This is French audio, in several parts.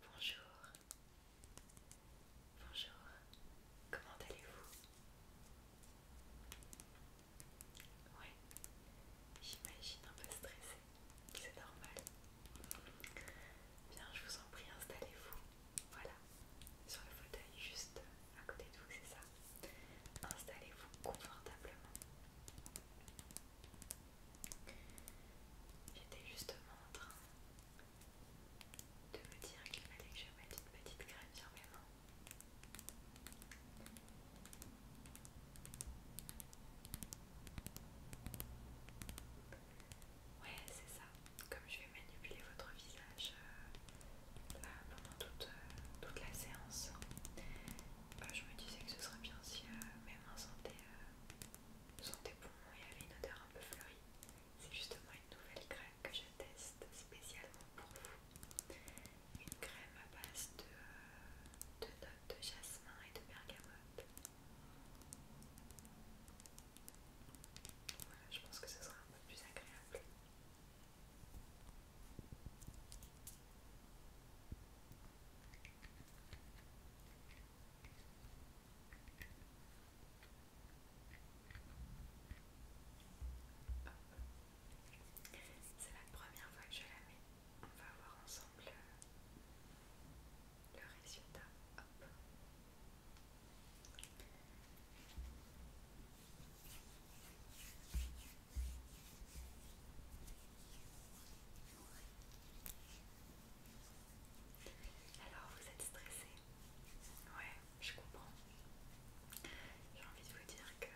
Bonjour, bonjour, comment allez-vous Oui, j'imagine un peu stressé, c'est normal. Bien, je vous en prie, installez-vous. Voilà, sur le fauteuil juste à côté de vous, c'est ça Installez-vous confortablement. J'étais justement en train de me dire qu'il fallait que je mette une petite crème sur mes mains. Ouais, c'est ça. Comme je vais manipuler votre visage euh, pendant toute, euh, toute la séance. Bah, je me disais que ce serait bien si même euh, mes santé santé pour il y et une odeur un peu fleurie. C'est justement une nouvelle crème que je teste spécialement pour vous. Une crème à base de, euh, de notes de jasmin et de bergamote. je pense que ce sera un peu plus agréable. C'est la première fois que je la mets. On va voir ensemble euh, le, résultat. Alors vous êtes stressé Ouais, je comprends. J'ai envie de vous dire que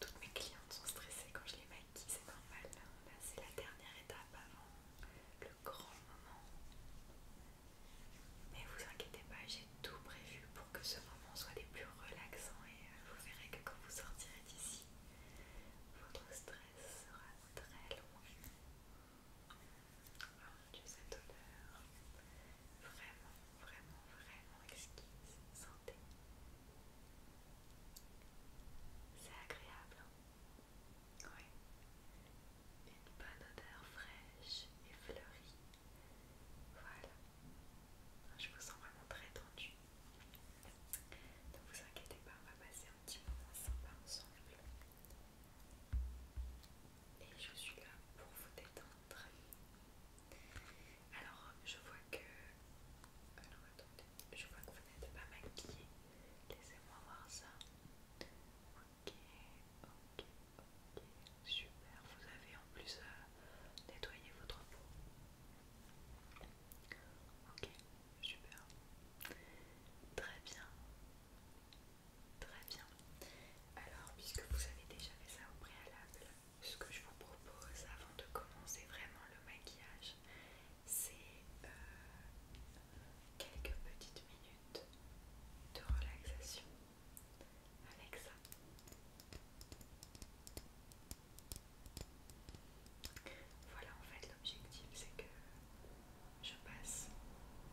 toutes mes clientes sont stressées quand je les maquille, c'est normal. c'est la dernière étape avant le grand moment. Mais vous inquiétez pas, j'ai tout prévu pour que ce moment soit les plus relaxants et euh, vous verrez que quand vous sortirez d'ici, votre stress sera très long. Oh ah, cette odeur, vraiment, vraiment, vraiment exquise. Sentez. C'est agréable, hein. Oui. Une bonne odeur fraîche et fleurie. Voilà. Ah, je vous sens vraiment très tendue. Ne vous inquiétez pas, on va passer un petit moment sympa ensemble. Et je suis là pour vous détendre. Alors, je vois que. je vois que vous n'êtes pas maquillée. Laissez-moi voir ça. Ok, ok, Ok, super. Vous avez en plus à euh, nettoyé votre peau. Ok, super. Très bien. Très bien. Alors, puisque vous avez déjà fait ça au préalable, ce que je vous propose avant de commencer vraiment le maquillage, c'est euh, quelques petites minutes de relaxation avec ça. Voilà, en fait, l'objectif c'est que je passe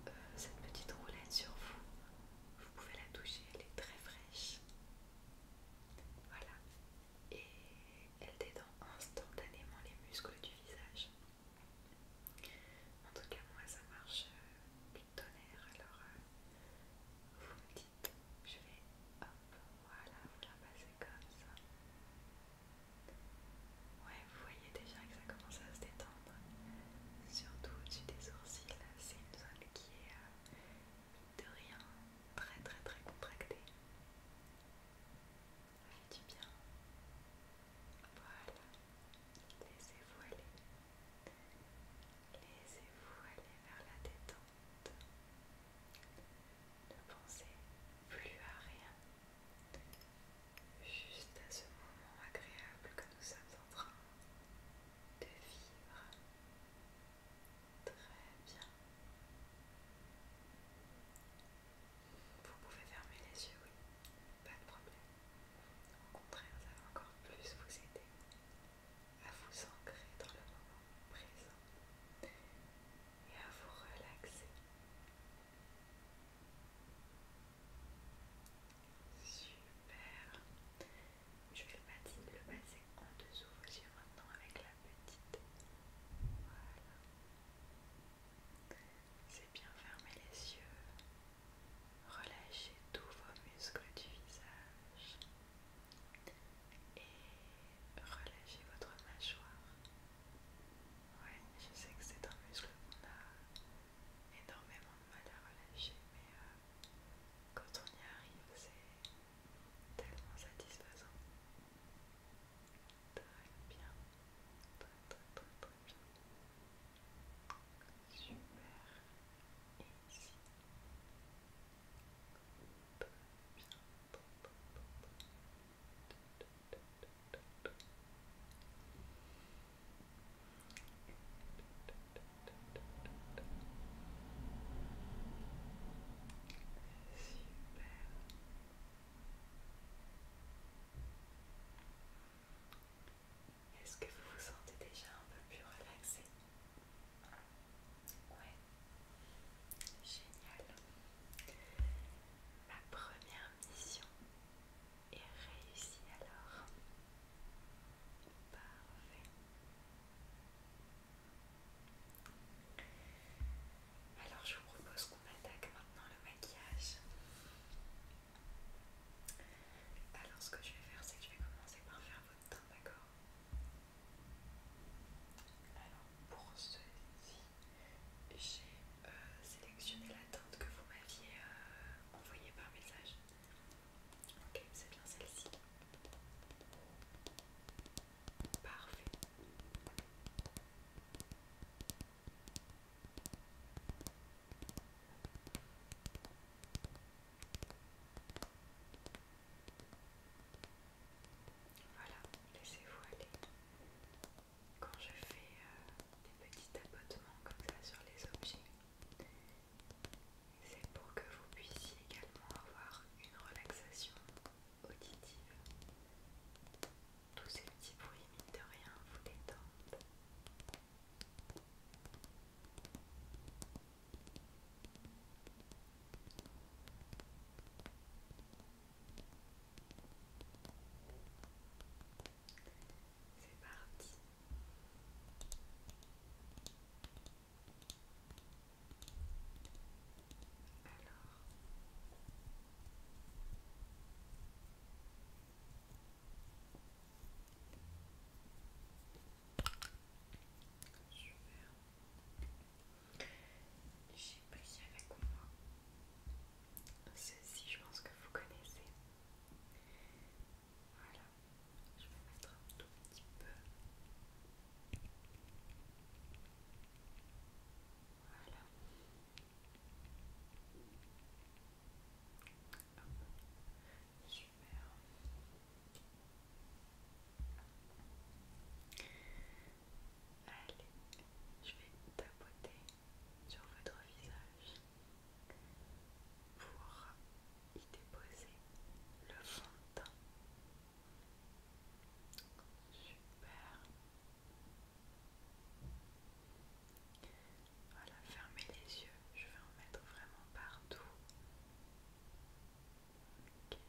euh, cette petite roulette sur vous. Vous pouvez la toucher, elle est très fraîche. Voilà, et elle détend instantanément les muscles du visage. En tout cas, moi ça marche euh, tonnerre. Alors, euh, vous me dites, je vais, hop, voilà, vous la passez comme ça. Ouais, vous voyez déjà que ça commence à se détendre, surtout au-dessus des sourcils. C'est une zone qui est, euh, de rien, très très très contractée. Ça fait du bien. Voilà, laissez-vous aller. Laissez-vous aller vers la détente. Ne pensez plus à rien. Juste à ce moment agréable que nous sommes en train de vivre. Très bien. Vous pouvez fermer les yeux, oui pas de problème. Au contraire, ça va encore plus vous aider à vous ancrer dans le moment présent et à vous relaxer. Super. Je vais le passer en dessous vos yeux maintenant avec la petite. Voilà. C'est bien fermer les yeux. Relâchez tous vos muscles du visage et relâchez votre mâchoire. Ouais, je sais que c'est un muscle qu'on a énormément de mal à relâcher, mais euh, quand on y arrive, c'est tellement satisfaisant. Très bien, très très très bien. Super. Et ici. Super. Est-ce que vous vous sentez déjà un peu plus relaxé Ouais. Génial. Ma première mission est réussie alors. Parfait. Alors je vous propose qu'on attaque maintenant le maquillage. Alors ce que je vais faire c'est que je vais commencer par faire votre teinte, d'accord Alors pour ceci, j'ai euh, sélectionné la teinte que vous m'aviez euh, envoyée par message. Ok, c'est bien celle-ci. Parfait. Voilà, laissez-vous aller. Quand je fais euh, des petits tapotements comme ça sur les objets, c'est pour que vous puissiez également avoir une relaxation auditive. Tous ces petits bruits, mine de rien, vous détendent. C'est parti. Alors. J'ai pris avec moi ceci, je pense que vous connaissez. Voilà, je vais mettre un tout petit peu. Voilà. Allez, je vais tapoter sur votre visage pour y déposer le fond de teint. Super. Voilà, fermez les yeux, je vais en mettre vraiment partout. Voilà,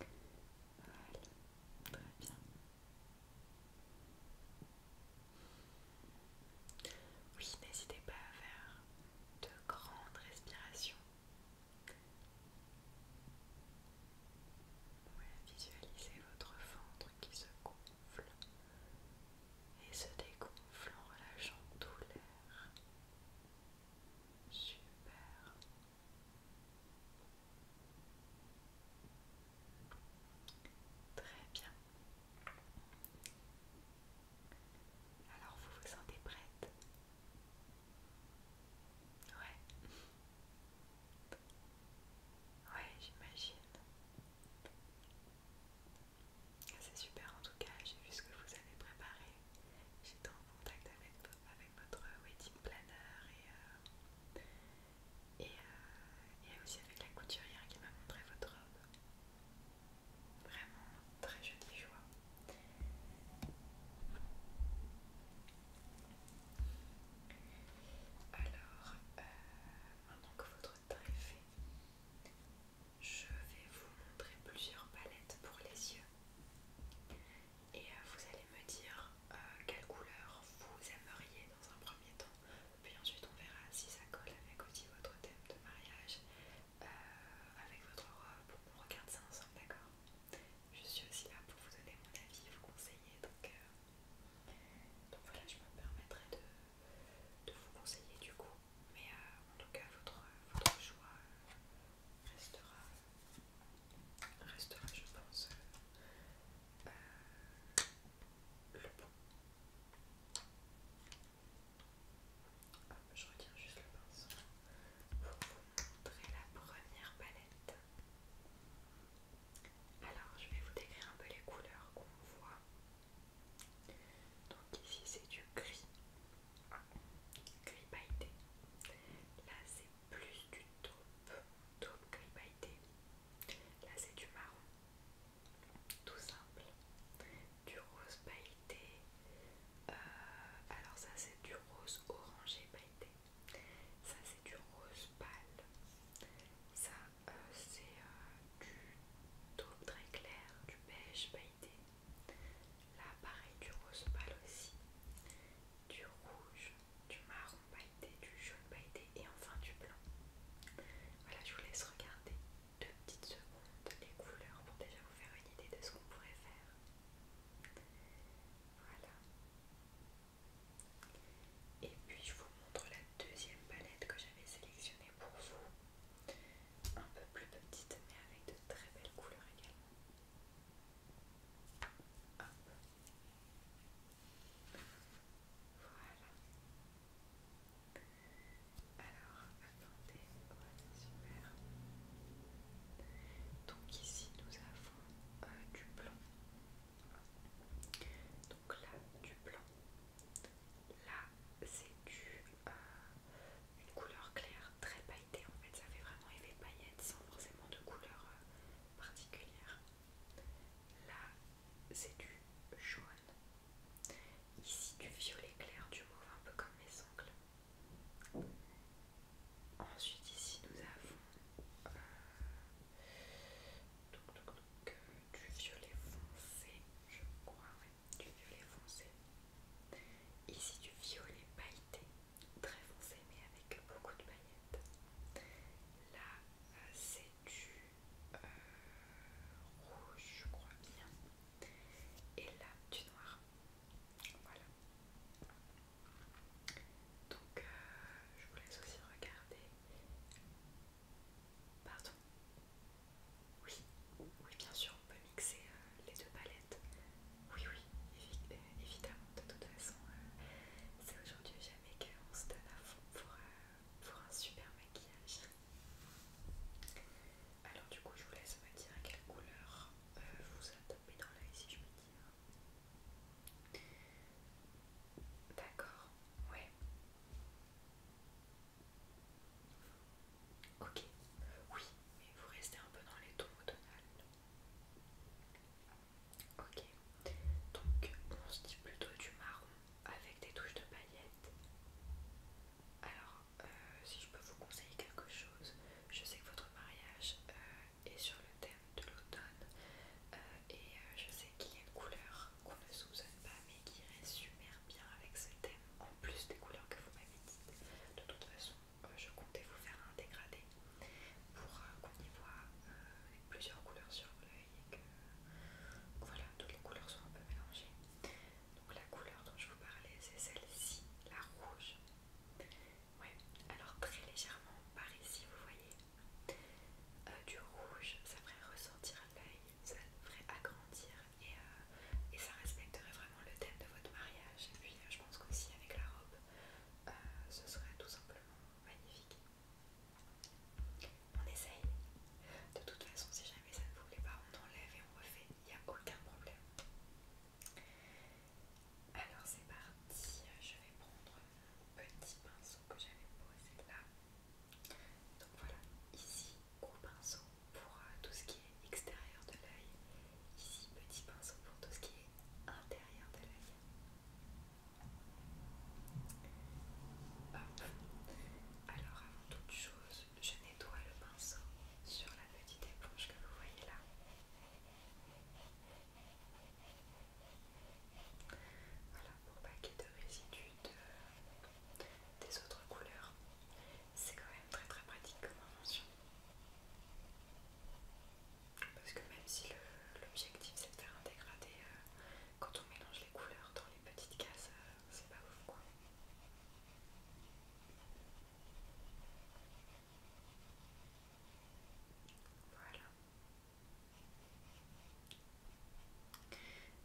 très bien. Oui, n'hésitez pas à faire de grandes respirations visualisez votre ventre qui se gonfle et se dégonfle en relâchant tout l'air. Super. Très bien. Alors vous vous sentez prête Ouais. Ouais, j'imagine. C'est super en tout cas, j'ai vu ce que vous avez préparé. J'étais en contact avec, avec votre wedding planner et, euh, et, euh, et aussi avec la couturière qui m'a montré votre robe. Vraiment très jolie joie. Alors, maintenant euh, que votre teint est fait, je vais vous montrer plusieurs palettes pour les yeux et euh, vous allez me dire euh, quelle couleur vous aimeriez dans un premier temps, puis ensuite on verra si ça colle avec aussi votre thème de mariage, avec votre robe, on regarde ça ensemble, d'accord je suis aussi là pour vous donner mon avis, vous conseiller. Donc, euh, donc voilà, je me permettrai de, vous conseiller du coup. Mais euh, en tout cas, votre, choix euh, restera, restera je pense, le bon. je retiens juste le pinceau pour vous montrer la première palette. Alors, je vais vous décrire un peu les couleurs qu'on voit. Donc ici, c'est du gris, gris pailleté. Là, c'est plus du taupe, taupe gris pailleté. Là, c'est du marron, tout simple, du rose pailleté. Euh, alors ça, c'est du rose orangé pailleté. Ça c'est du rose pâle. Ça euh, c'est euh, du taupe très clair, du beige pailleté. Là pareil du rose pâle aussi. Du rouge, du marron pailleté, du jaune pailleté et enfin du blanc. Voilà, je vous laisse regarder deux petites secondes les couleurs pour déjà vous faire une idée de ce qu'on pourrait faire. Voilà. Et puis je vous montre la deuxième palette que j'avais sélectionnée pour vous. Un peu plus petite mais avec de très belles couleurs également. Voilà. Alors, attendez. Voilà, super. Donc ici nous avons euh, du blanc. Donc là, du blanc. Là, c'est du euh, une couleur claire, très pailletée en fait. Ça fait vraiment effet paillettes sans forcément de couleur euh, particulière. Là, c'est du jaune. Ici, du violet clair, du mauve, un peu comme mes ongles. Ensuite ici nous avons euh, euh, du violet foncé, je crois, du violet foncé. Ici du violet pailleté, très foncé mais avec beaucoup de paillettes. Là euh, c'est du rouge, je crois bien. Et là du noir. Voilà. Donc euh, je vous laisse aussi regarder. Pardon. Oui, oui bien sûr, on peut mixer euh, les deux palettes. Oui, oui, euh, évidemment, de toute façon, c'est aujourd'hui jamais qu'on se donne à pour, un super maquillage. Alors du coup, je vous laisse me dire quelle couleur vous a topé dans l'œil si je me dis D'accord, ouais. Ok, oui, mais vous restez un peu dans les tons Donald Ok, donc on se dit plutôt du marron avec des touches de paillettes. Alors, euh, si je peux vous conseiller quelque chose, je sais que votre mariage euh, et sur le thème de l'automne euh, et euh, je sais qu'il y a une couleur qu'on ne soupçonne pas mais qui résume super bien avec ce thème en plus des couleurs que vous m'avez dites. De toute façon, euh, je comptais vous faire un dégradé pour qu'on y voit plusieurs couleurs sur l'œil et que voilà, toutes les couleurs sont un peu mélangées. Donc la couleur dont je vous parlais, c'est celle-ci, la rouge. Ouais, alors très légèrement par ici, vous voyez, euh, du rouge, ça ferait ressortir l'œil, ça ferait agrandir euh, et, ça respecterait vraiment le thème de votre mariage. Et puis euh, je pense qu'aussi avec la robe, ce serait tout simplement magnifique. On essaye. De toute façon, si jamais ça ne vous plaît pas, on enlève et on refait, il n'y a aucun problème. Alors c'est parti, je vais prendre un petit pinceau que j'avais posé là. Donc voilà, ici gros pinceau pour euh, tout ce qui est extérieur de l'œil, ici petit pinceau pour tout ce qui est intérieur de l'œil. Alors avant toute chose, je nettoie le pinceau sur la petite éponge que vous voyez là. Voilà, pour paquer de résidus euh, des autres couleurs. C'est quand même très très pratique comme invention. Parce que même si l'objectif c'est de faire un dégradé, euh, quand on mélange les couleurs dans les petites cases, euh, c'est pas ouf quoi.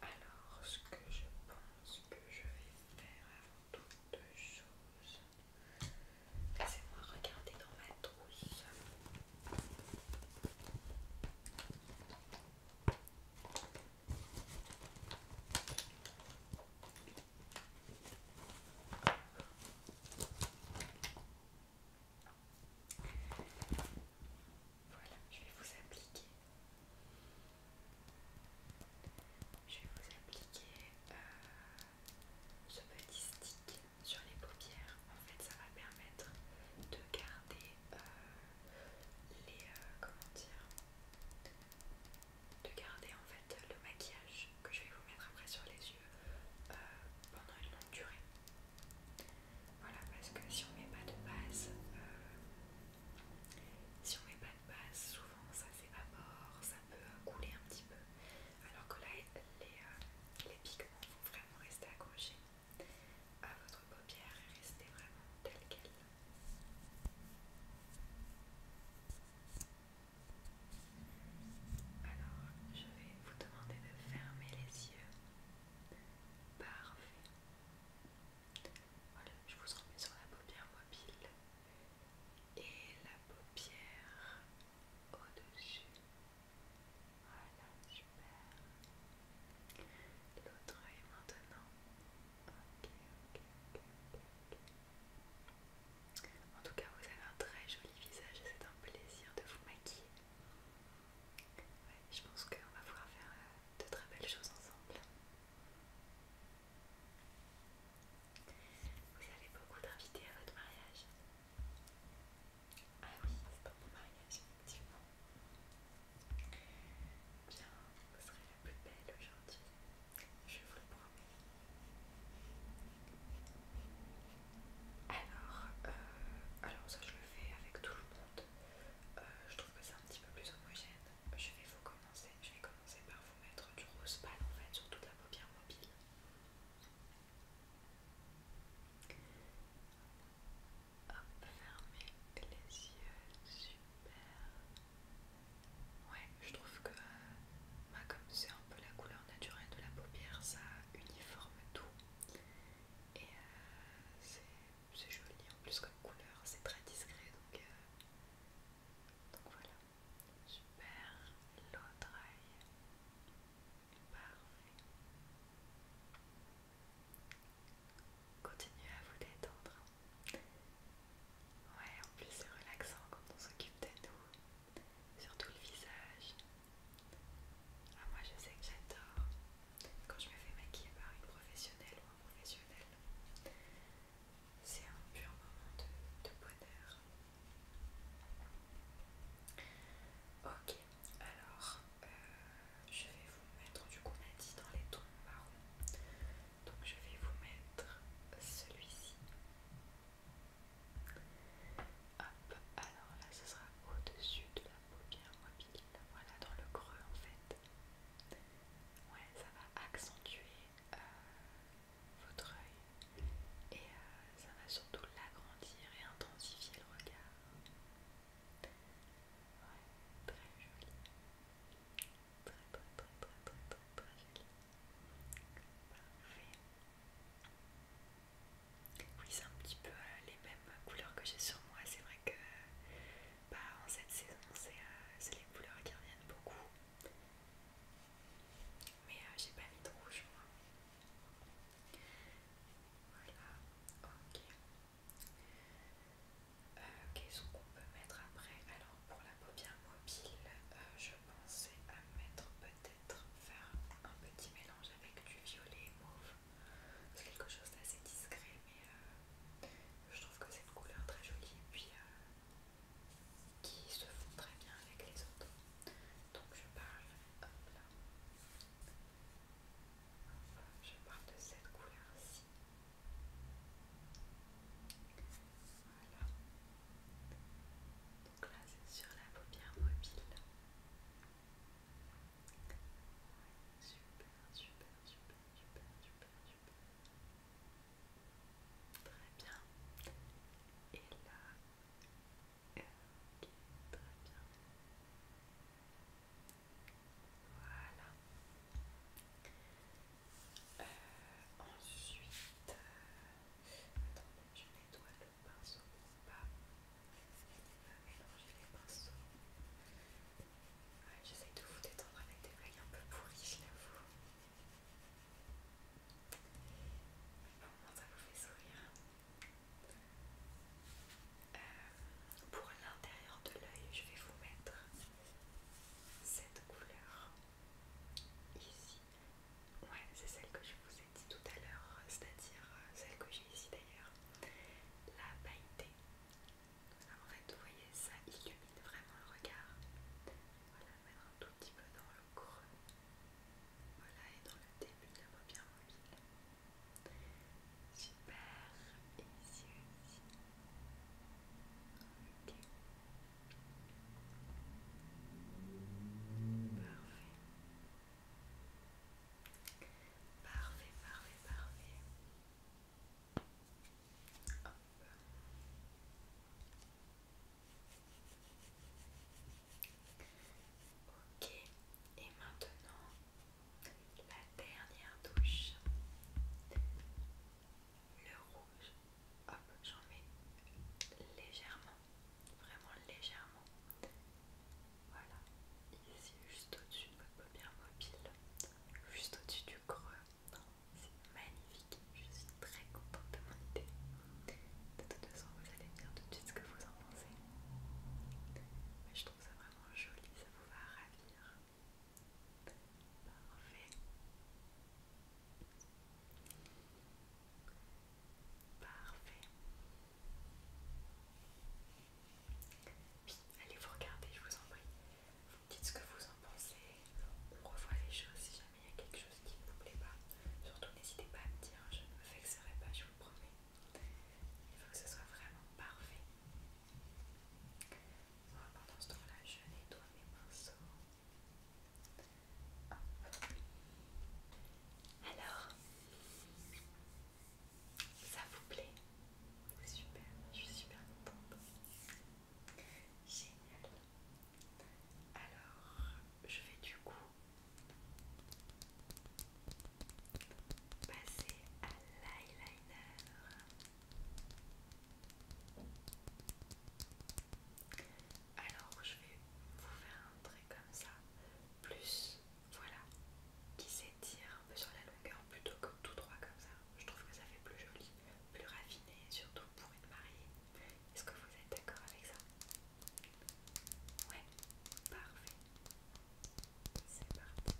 Alors, ce que je pense que je vais faire avant toute chose, c'est moi regarder dans ma trousse. Voilà, je vais vous appliquer. Je vais vous appliquer euh, ce petit stick sur les paupières. En fait, ça va permettre de garder euh, les euh, comment dire de garder en fait le maquillage que je vais vous mettre après sur les yeux euh, pendant une longue durée. Voilà, parce que si on met pas de base, euh, si on met pas de base, souvent ça s'évapore, ça peut couler un petit peu. Alors que là, euh, les, pigments vont vraiment rester accrochés à votre paupière et rester vraiment tel quel. Alors, je vais vous demander de fermer les yeux. Parfait. Voilà, je vous remets sur la paupière mobile et la paupière au-dessus. Voilà, super. L'autre œil maintenant. ok, ok, ok, ok. En tout cas, vous avez un très joli visage et c'est un plaisir de vous maquiller. je pense qu'on va pouvoir faire euh, de très belles choses ensemble. Vous avez beaucoup d'invités à votre mariage Ah oui, c'est pour mon mariage, effectivement. Bien, vous serez la plus belle aujourd'hui. Je vous le Alors, euh, alors ça je le fais avec tout le monde. Euh, je trouve que c'est un petit peu plus homogène. Je vais vous commencer. Je vais commencer par vous mettre du rose pâle en fait sur toute la paupière mobile. Hop, fermez les yeux, super. Ouais, je trouve que euh, bah, comme c'est un peu la couleur naturelle de la paupière, ça uniforme tout. Et euh, c'est joli en plus comme couleur, c'est très discret donc, euh, donc voilà. Super, l'autre Parfait. Continuez à vous détendre. Ouais, en plus c'est relaxant quand on s'occupe de nous, surtout le visage. Ah, moi je sais que j'adore quand je me fais maquiller par une professionnelle ou un professionnel. C'est un pur moment de, bonheur. Ok, alors euh, je vais vous mettre, du coup a dit dans les tons marron. Donc je vais vous mettre celui-ci. Hop, alors là ce sera au-dessus de la paupière mobile. Voilà, dans le creux en fait. Ouais, ça va accentuer euh, votre œil et euh, ça va surtout l'agrandir et intensifier le regard. Ouais, très joli. Très, très, très, très, très, joli. Oui, c'est un petit peu euh, les mêmes couleurs que j'ai sur moi. C'est vrai que bah, en cette saison, euh, c'est les couleurs qui reviennent beaucoup. Mais euh, j'ai pas mis de rouge, moi. Voilà, ok. Qu'est-ce qu'on peut mettre après pour la peau bien mobile, euh, je pensais à mettre peut-être faire un petit mélange avec du violet mauve. C'est quelque chose d'assez discret, mais euh, je trouve que c'est une couleur très jolie et puis euh, qui se fond très bien avec les autres. Donc je parle, hop là, je parle de cette couleur-ci. Voilà. Donc là c'est sur la paupière mobile. Super, super, super, super, super, Très bien. Et là. Euh, ok, très bien. Voilà. Euh, ensuite, euh, attendez, je nettoie le pinceau pour pas mélanger les pinceaux. j'essaie J'essaye de vous détendre avec des feuilles un peu pourries, je l'avoue. Mais bon, ça vous fait sourire. Euh, pour l'intérieur de l'œil, je vais vous mettre cette couleur ici. Ouais, c'est celle que je vous ai dit tout à l'heure, c'est-à-dire euh, celle que j'ai ici d'ailleurs, la pailletée. En fait, vous voyez, ça illumine vraiment le regard. Voilà, mettre un tout petit peu dans le creux. Voilà, et dans le début de la paupière mobile. Super, ici Ok. Parfait, parfait, parfait. Ok, et maintenant la dernière touche le rouge, hop, j'en mets légèrement, vraiment légèrement. Voilà, ici juste au-dessus de votre paupière mobile, juste au-dessus du creux. C'est magnifique, je suis très contente de mon idée. De toute façon, vous allez me dire tout de suite ce que vous en pensez. Mais je trouve ça vraiment joli, ça vous va ravir. Parfait. Parfait. Oui, allez vous regarder, je vous en prie. Vous dites ce que vous en pensez. On revoit les choses si jamais il y a quelque chose qui ne vous plaît pas. Surtout n'hésitez pas à me dire, je ne me vexerai pas, je vous le promets. Il faut que ce soit vraiment parfait. Alors, pendant ce temps-là, je nettoie mes pinceaux. Alors, ça vous plaît Super, je suis super contente. Génial. Alors, je vais du coup passer à l'eyeliner. Alors je vais vous faire un trait comme ça, plus voilà, qui s'étire un peu sur la longueur plutôt que tout droit comme ça. Je trouve que ça fait plus joli, plus raffiné, surtout pour une mariée. Est-ce que vous êtes d'accord avec ça Ouais, parfait. C'est parti.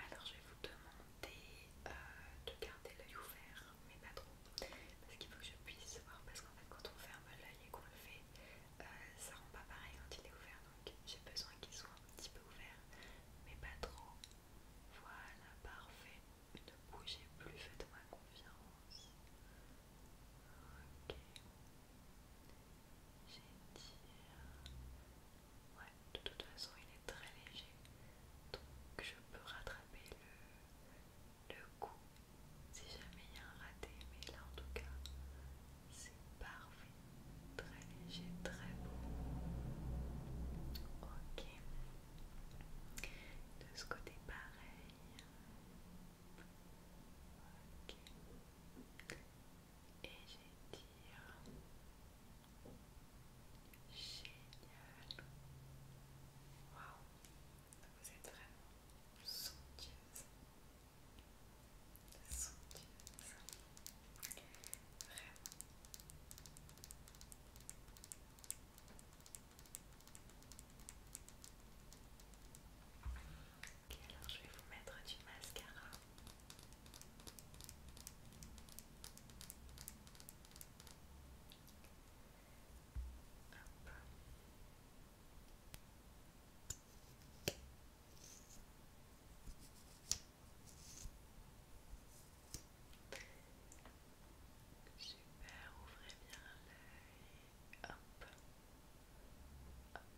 Alors je vais vous demander euh, de garder l'œil ouvert, mais pas trop, parce qu'il faut que je puisse voir, parce qu'en fait quand on ferme l'œil et qu'on le fait, euh, ça rend pas pareil quand il est ouvert, donc j'ai besoin qu'il soit un petit peu ouvert, mais pas trop. Voilà, parfait. Ne bougez plus, faites-moi confiance. Ok. J'ai euh, ouais, de toute façon il est très léger, donc je peux rattraper le, le coup si jamais il y a un raté, mais là en tout cas c'est parfait, très léger, très beau. Ok, de ce côté pareil et j'ai dit génial, waouh, vous êtes vraiment somptueuse, somptueuse, vraiment. Ok, alors je vais vous mettre du mascara. Super, ouvrez bien l'œil. Hop. Hop.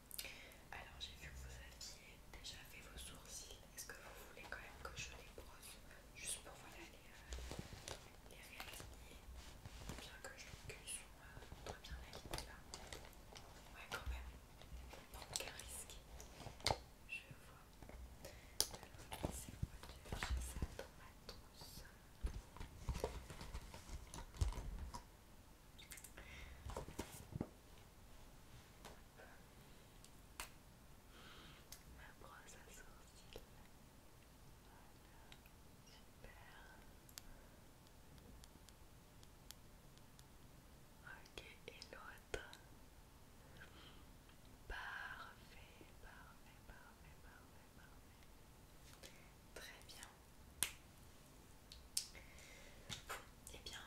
Alors j'ai vu que vous aviez déjà fait vos sourcils. Est-ce que vous voulez quand même que je les brosse juste pour voilà, les, euh, Bien que je suis euh, très bien là. Ouais quand même. pas de risque. Je vois. Alors laissez moi de chercher ça dans ma trousse. Ma brosse à sourcils. Voilà, Ok, l'autre. Parfait, parfait, parfait, parfait, parfait. Très bien. Et eh bien,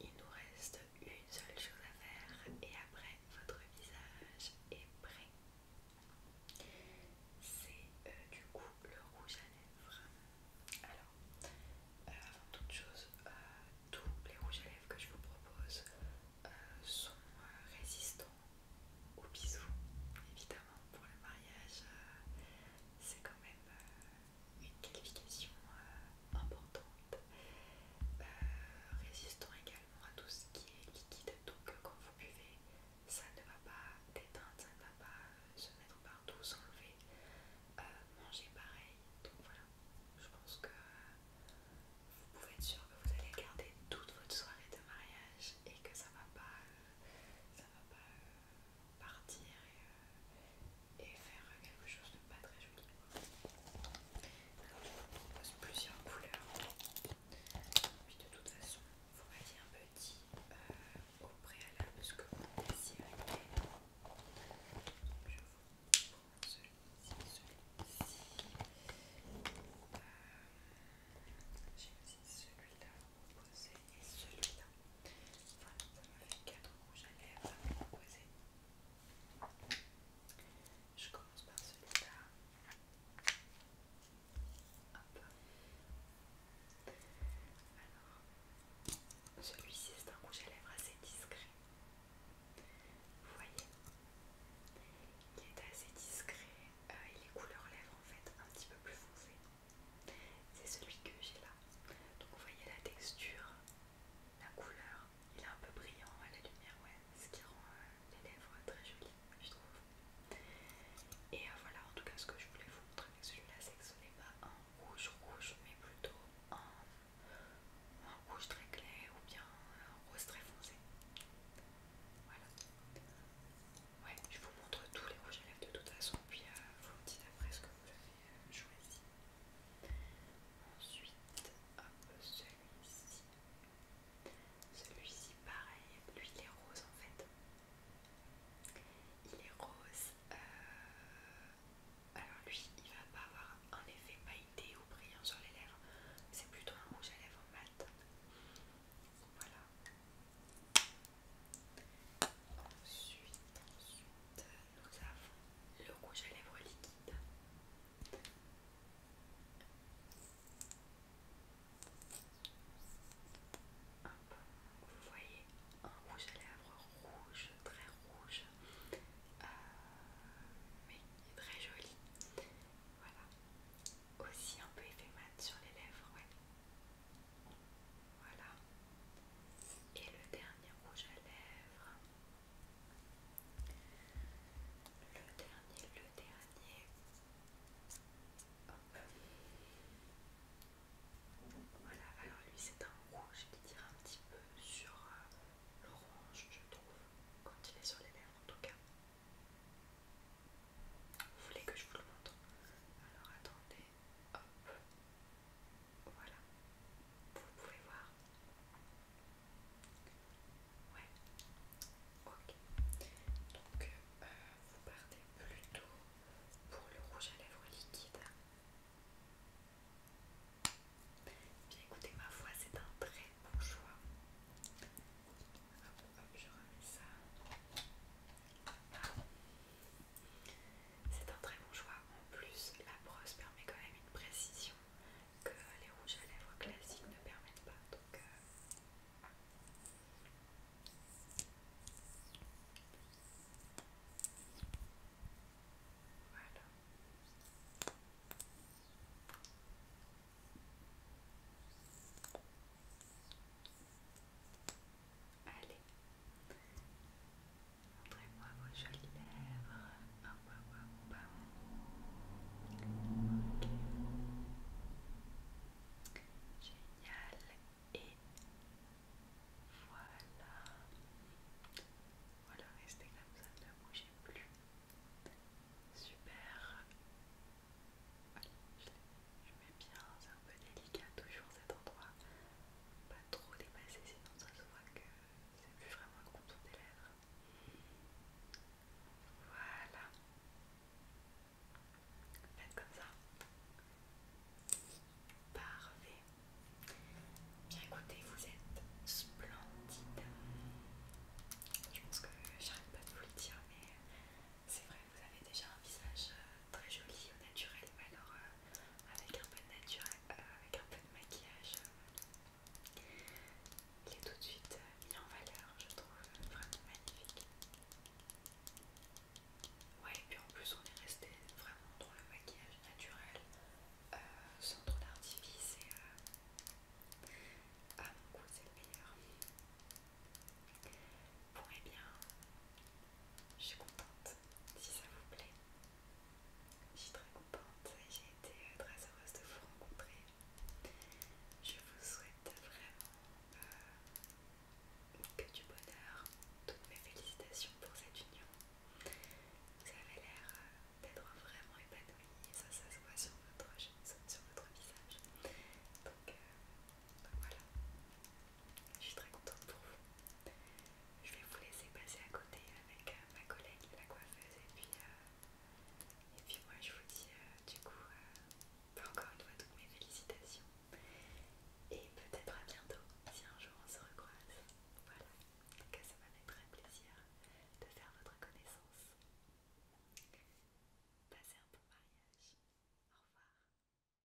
il nous reste une seule chose à faire et après votre visage est prêt. C'est euh, du coup le rouge à lèvres. Alors, euh, avant toute chose, euh, tous les rouges à lèvres que je vous propose sont résistants aux bisous. Évidemment, pour le mariage, c'est quand même une qualification euh, importante, euh, résistant également à tout ce qui est liquide, donc euh, quand vous buvez, ça ne va pas déteindre, ça ne va pas se mettre partout, s'enlever, manger pareil, donc voilà, je pense que vous pouvez être sûr que vous allez garder toute votre soirée de mariage et que ça ne va pas, ça va pas partir euh, et, faire quelque chose de pas très joli. Alors je vous propose plusieurs couleurs. Puis de toute façon, vous dit un euh, petit au préalable ce que vous désirez. Je vous prends celui-ci, celui-ci. Euh, J'ai aussi celui-là proposer et celui-là ça m'a fait 4 rouges à lèvres à Je commence par celui-là. Alors, celui-ci c'est un rouge à lèvres assez discret. Vous voyez Il est assez discret. Euh, il est couleur lèvres en fait, un petit peu plus foncé. C'est celui que j'ai là. Donc vous voyez la texture, la couleur, il est un peu brillant à la lumière, ouais, ce qui rend euh, les lèvres très jolies, je trouve. Et euh, voilà, en tout cas, ce que je voulais vous montrer avec celui-là, c'est que ce n'est pas un rouge rouge, mais plutôt un, rouge très clair ou bien un rose très foncé. Voilà. Ouais, je vous montre tous les rouges à lèvres de toute façon, puis euh, vous me dites après ce que vous avez choisi. Ensuite, celui-ci. Celui-ci, pareil, lui il est rose en fait. Il est rose. Euh, alors lui, il va pas avoir un effet pailleté ou brillant sur les lèvres. C'est plutôt un rouge à lèvres mat. Voilà. Ensuite, ensuite, nous avons le rouge à lèvres liquide. Vous voyez un rouge à lèvres rouge, très rouge, mais très joli. Voilà. Aussi un peu effet mat sur les lèvres, voilà. Et le dernier rouge à lèvres. Le dernier, le dernier. Voilà, alors lui c'est un rouge qui dire un petit peu sur euh, l'orange, je trouve, quand il est sur les lèvres en tout cas. Vous voulez que je vous le montre Alors attendez, hop, voilà, vous pouvez voir. Ouais, ok. Donc, euh, vous partez plutôt pour le rouge à lèvres liquide. Bien écoutez, ma foi, c'est un très bon choix. Hop, hop, je remets ça. C'est un très bon choix. En plus, la brosse permet quand même une précision que les rouges à lèvres classiques ne permettent pas. Donc, euh, Allez, montrez-moi vos jolies lèvres. Bam, bam, bam. Ok. Génial. Et voilà. Voilà, restez comme ça, ne bougez plus. Super. Allez, je l'ai mais bien, c'est un peu délicat toujours cet endroit. Pas trop dépasser sinon ça se voit que c'est plus vraiment le contour des lèvres. Voilà. Faites comme ça. Parfait. Bien écoutez, vous êtes splendide. Je pense que j'arrête pas de vous le dire, mais c'est vrai, vous avez déjà un visage euh, très joli au naturel, alors euh, euh, avec un peu de maquillage, euh, il est tout de suite euh, mis en valeur, je trouve vraiment magnifique. Ouais, et puis en plus on est resté vraiment dans le maquillage naturel, sans trop d'artifice et à mon goût c'est le meilleur. Bon et eh bien, je suis contente si ça vous plaît. Je suis très contente j'ai été euh, très heureuse de vous rencontrer. Je vous souhaite vraiment euh, que du bonheur. Toutes mes félicitations pour cette union. Vous avez l'air euh, d'être vraiment épanouie, ça, ça se voit sur votre, sur votre visage. donc voilà. Je suis très contente pour vous. Je vais vous laisser passer à côté avec euh, ma collègue, la coiffeuse, et puis, euh, et puis moi je vous dis euh, du coup encore une fois toutes mes félicitations. Et peut-être à bientôt si un jour on se recroise. Voilà. cas, ça m'a fait très plaisir de faire votre connaissance. Passez un bon mariage. Au revoir.